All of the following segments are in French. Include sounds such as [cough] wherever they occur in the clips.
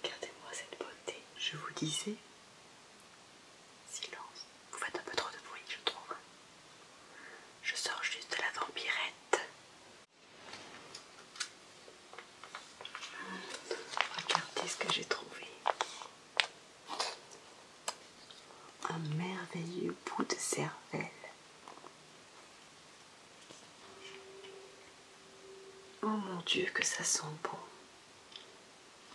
Regardez-moi cette beauté, je vous disais. Silence, vous faites un peu trop de bruit, je trouve. Je sors juste de la vampirette. Regardez ce que j'ai trouvé. Un merveilleux bout de cervelle. Oh mon Dieu, que ça sent bon.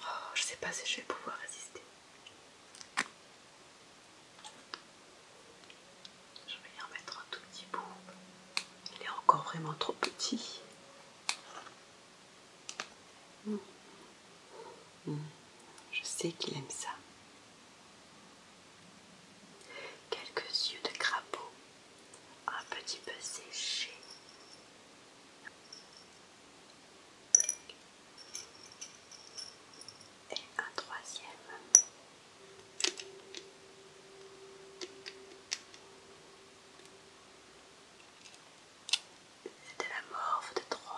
Oh, je sais pas si je vais pouvoir résister. Je vais y remettre un tout petit bout. Il est encore vraiment trop petit. Mm. Mm. Je sais qu'il aime ça. Quelques yeux de crapaud, un petit peu séchés. Et un troisième. de la morve de trône.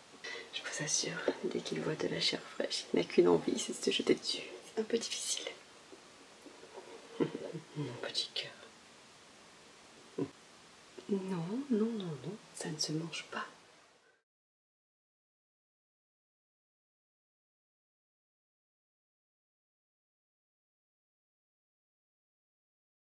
Je vous assure, dès qu'il voit de la chair fraîche, il n'a qu'une envie, c'est de se jeter dessus. C'est un peu difficile. Mon [laughs] petit cœur. Non, non, non, non, ça ne se mange pas.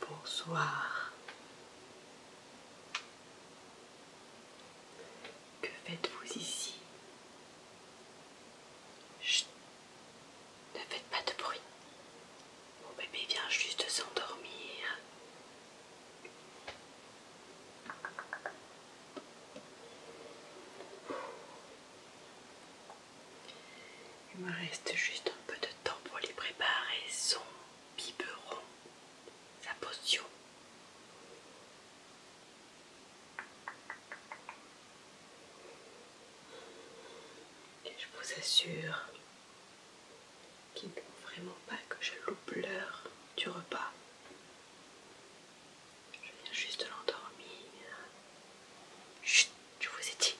Bonsoir. Que faites-vous ici Ne faites pas de bruit. Mon bébé vient juste de s'endormir. Il me reste juste un peu de temps pour les préparer son biberon, sa potion. Et je vous assure qu'il ne faut vraiment pas que je loupe l'heure du repas. Je viens juste de l'endormir. Chut, je vous ai dit.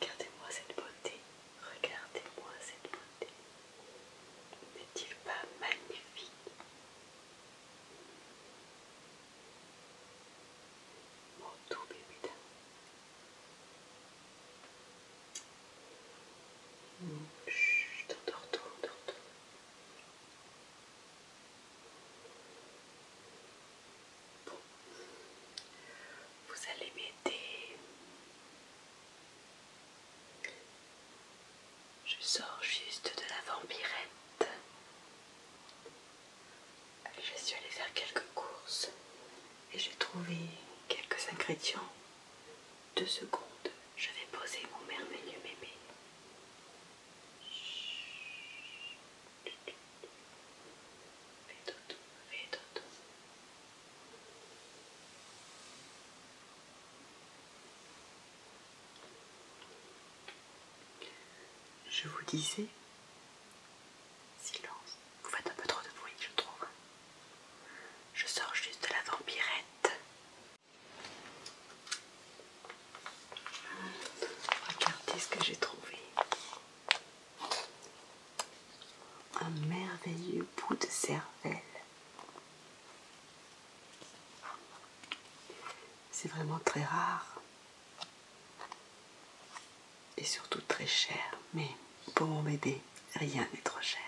Regardez-moi cette beauté. Regardez-moi cette beauté. N'est-il pas magnifique Mon tout bébé d'amour. Chut, t'endors tout, t'endors tout. Bon, vous allez m'aider je sors juste de la vampirette. Je suis allée faire quelques courses et j'ai trouvé quelques ingrédients. Deux secondes, je vais poser mon merveilleux bébé. Je vous disais, silence, vous faites un peu trop de bruit, je trouve. Je sors juste de la vampirette. Regardez ce que j'ai trouvé. Un merveilleux bout de cervelle c'est vraiment très rare et surtout très cher, mais pour m'aider rien n'est trop cher.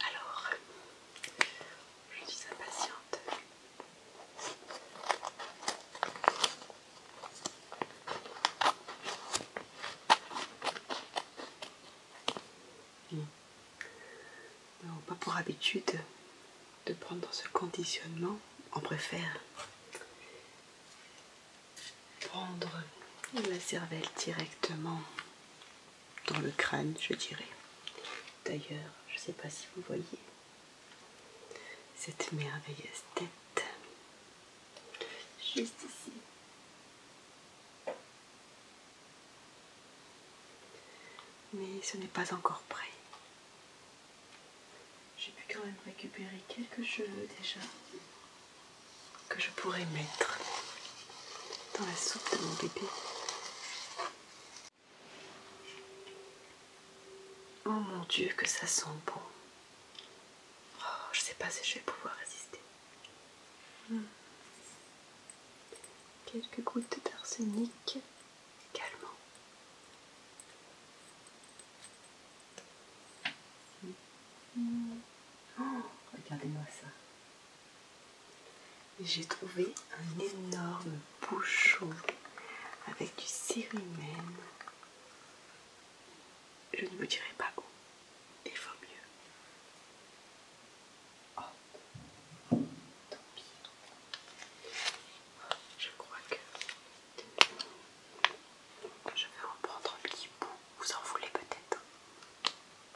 Alors, je suis impatiente. Non, pas pour habitude de prendre ce conditionnement, on préfère prendre la cervelle directement dans le crâne, je dirais. D'ailleurs, je ne sais pas si vous voyez cette merveilleuse tête juste ici. Mais ce n'est pas encore prêt. J'ai pu quand même récupérer quelques cheveux déjà que je pourrais mettre dans la soupe de mon bébé. Oh mon Dieu, que ça sent bon. Oh, je sais pas si je vais pouvoir résister. Hmm. Quelques gouttes d'arsenic calmant. Hmm. Oh, regardez-moi ça. J'ai trouvé un énorme bouchon avec du cérumen. Je ne vous dirai pas où, il vaut mieux. Oh, tant pis. Je crois que je vais en prendre un petit bout. Vous en voulez peut-être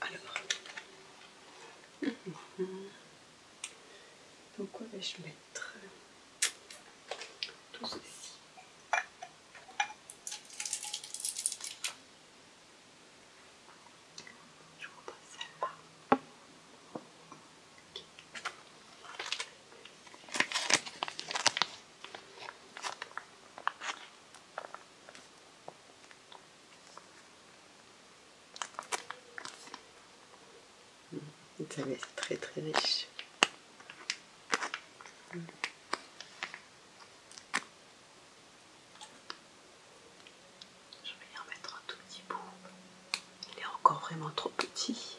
Alors. Donc quoi vais-je mettre Tout ceci très très riche. Je vais y remettre mettre un tout petit bout. Il est encore vraiment trop petit.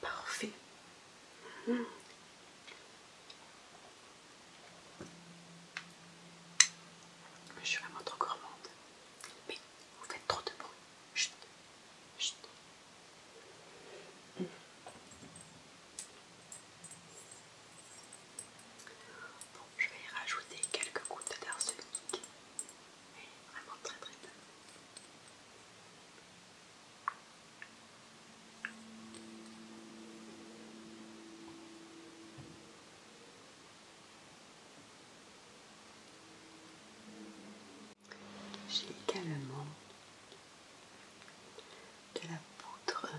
Parfait. Hmm. Je suis vraiment trop gourmande. Mais vous faites trop de bruit. Chut. Hmm. Bon, je vais y rajouter quelques gouttes d'arsenic vraiment très très J'ai également de la poudre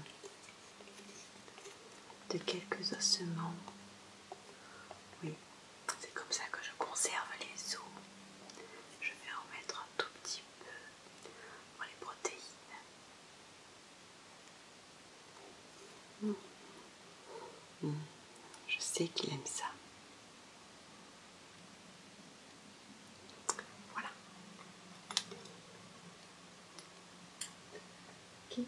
de quelques ossements. Oui, c'est comme ça que je conserve les os. Je vais en mettre un tout petit peu pour les protéines. Mmh. Mmh. Je sais qu'il aime ça. Voilà. Qui?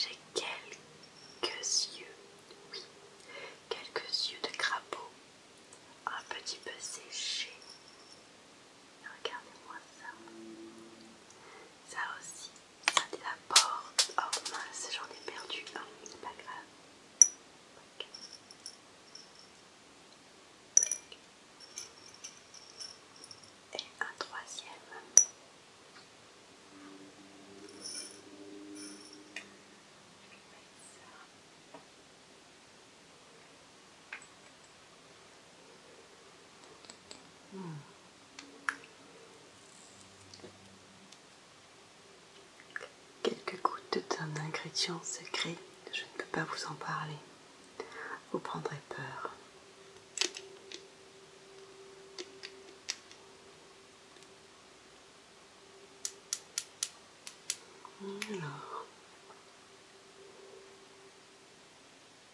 J'ai quelques yeux, oui, quelques yeux de crapaud, un petit peu séchés. Regardez-moi ça. Ça aussi, Regardez la porte. Oh mince, j'en ai perdu un. Oh, C'est pas grave. Et un troisième. Quelques gouttes d'un ingrédient secret, je ne peux pas vous en parler. Vous prendrez peur. Alors,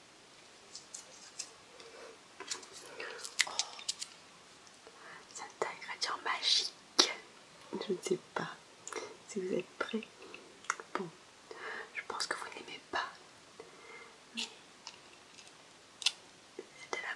Oh, c'est un ingrédient magique. Je ne sais pas si vous êtes prêts. Bon, je pense que vous n'aimez pas. Mais la de De la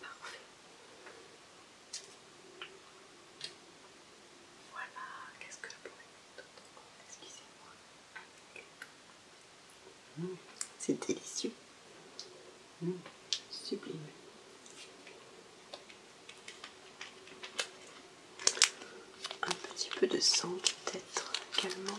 Parfait. Voilà, qu'est-ce que je pourrais Excusez-moi. C'est délicieux. Hmm. sublime. Un petit peu de sang peut-être également.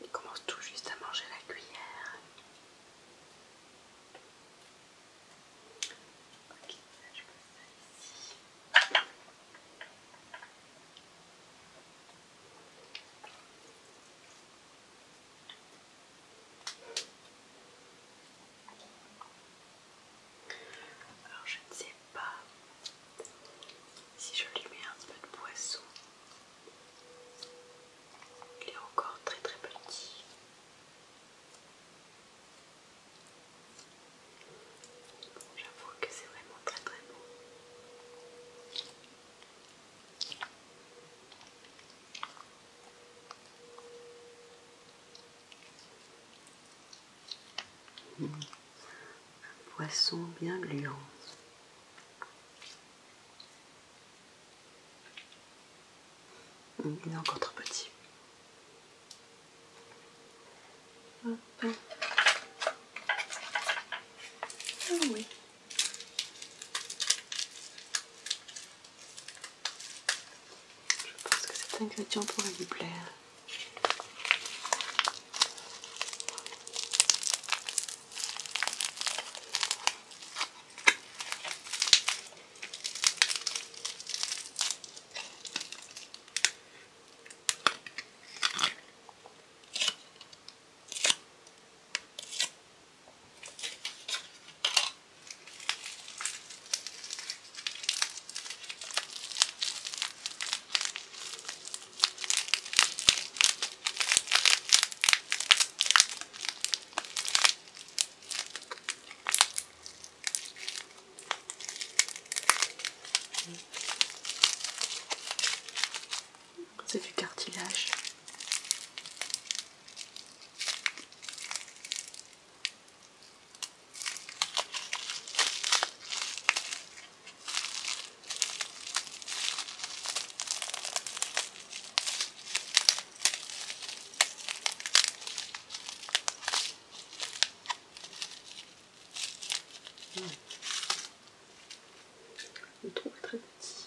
Il commence tout juste à manger la cuillère. Alors je ne sais pas si je lui mets un petit peu de poisson. Il est encore très très petit. J'avoue que c'est vraiment très très beau. Un poisson bien gluant. il est encore trop petit. Je pense que cet ingrédient pourrait lui plaire. C'est du cartilage. Le trou très petit.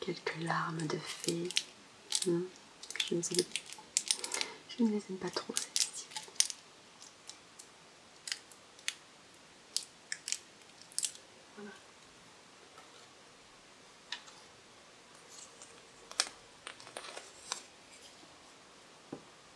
Quelques larmes de fées. Hmm, je, ne les... aime pas trop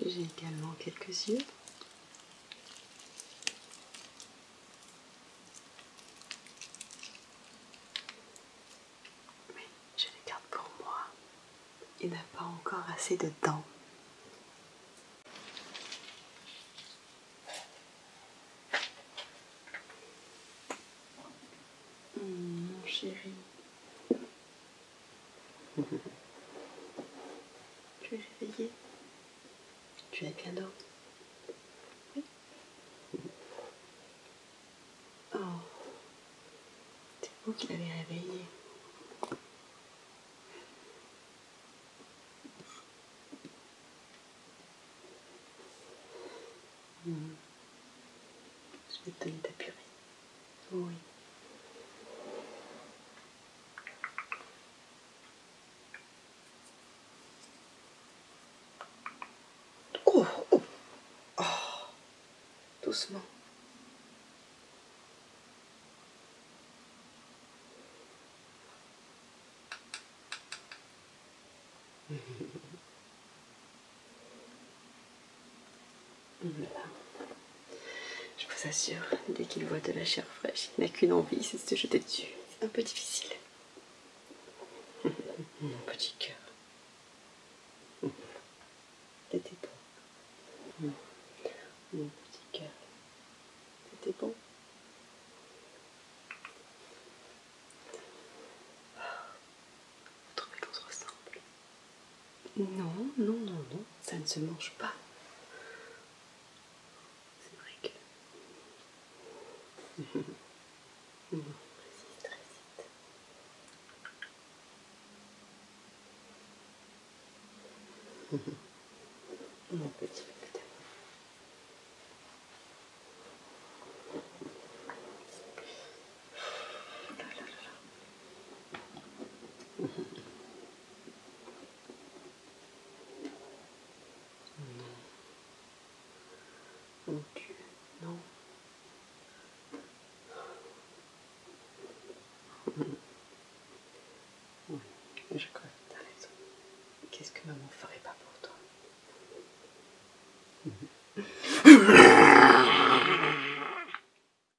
J'ai également quelques yeux. Mais je les garde pour moi. Il n'a pas encore assez de dents. Hum, mon chéri, tu es réveillé. Tu as bien dormi. Oui. Oh. C'est vous qui l'avez réveillé. Hmm. Je vais te donner ta purée. 遠いおあどうすまん [laughs] Je vous assure, dès qu'il voit de la chair fraîche, il n'a qu'une envie, c'est de se jeter dessus. C'est un peu difficile. [laughs] Mon petit cœur. C'était [laughs] bon. Mon petit cœur. C'était bon. Oh. Vous trouvez ressemble non, non, non, non, ça ne se mange pas. C'est vrai que... [laughs] non, résiste, résiste. [laughs] Mon petit bébé mon Dieu, non. Oui, je crois que t'as raison. Qu'est-ce que maman ferait pas pour toi [laughs]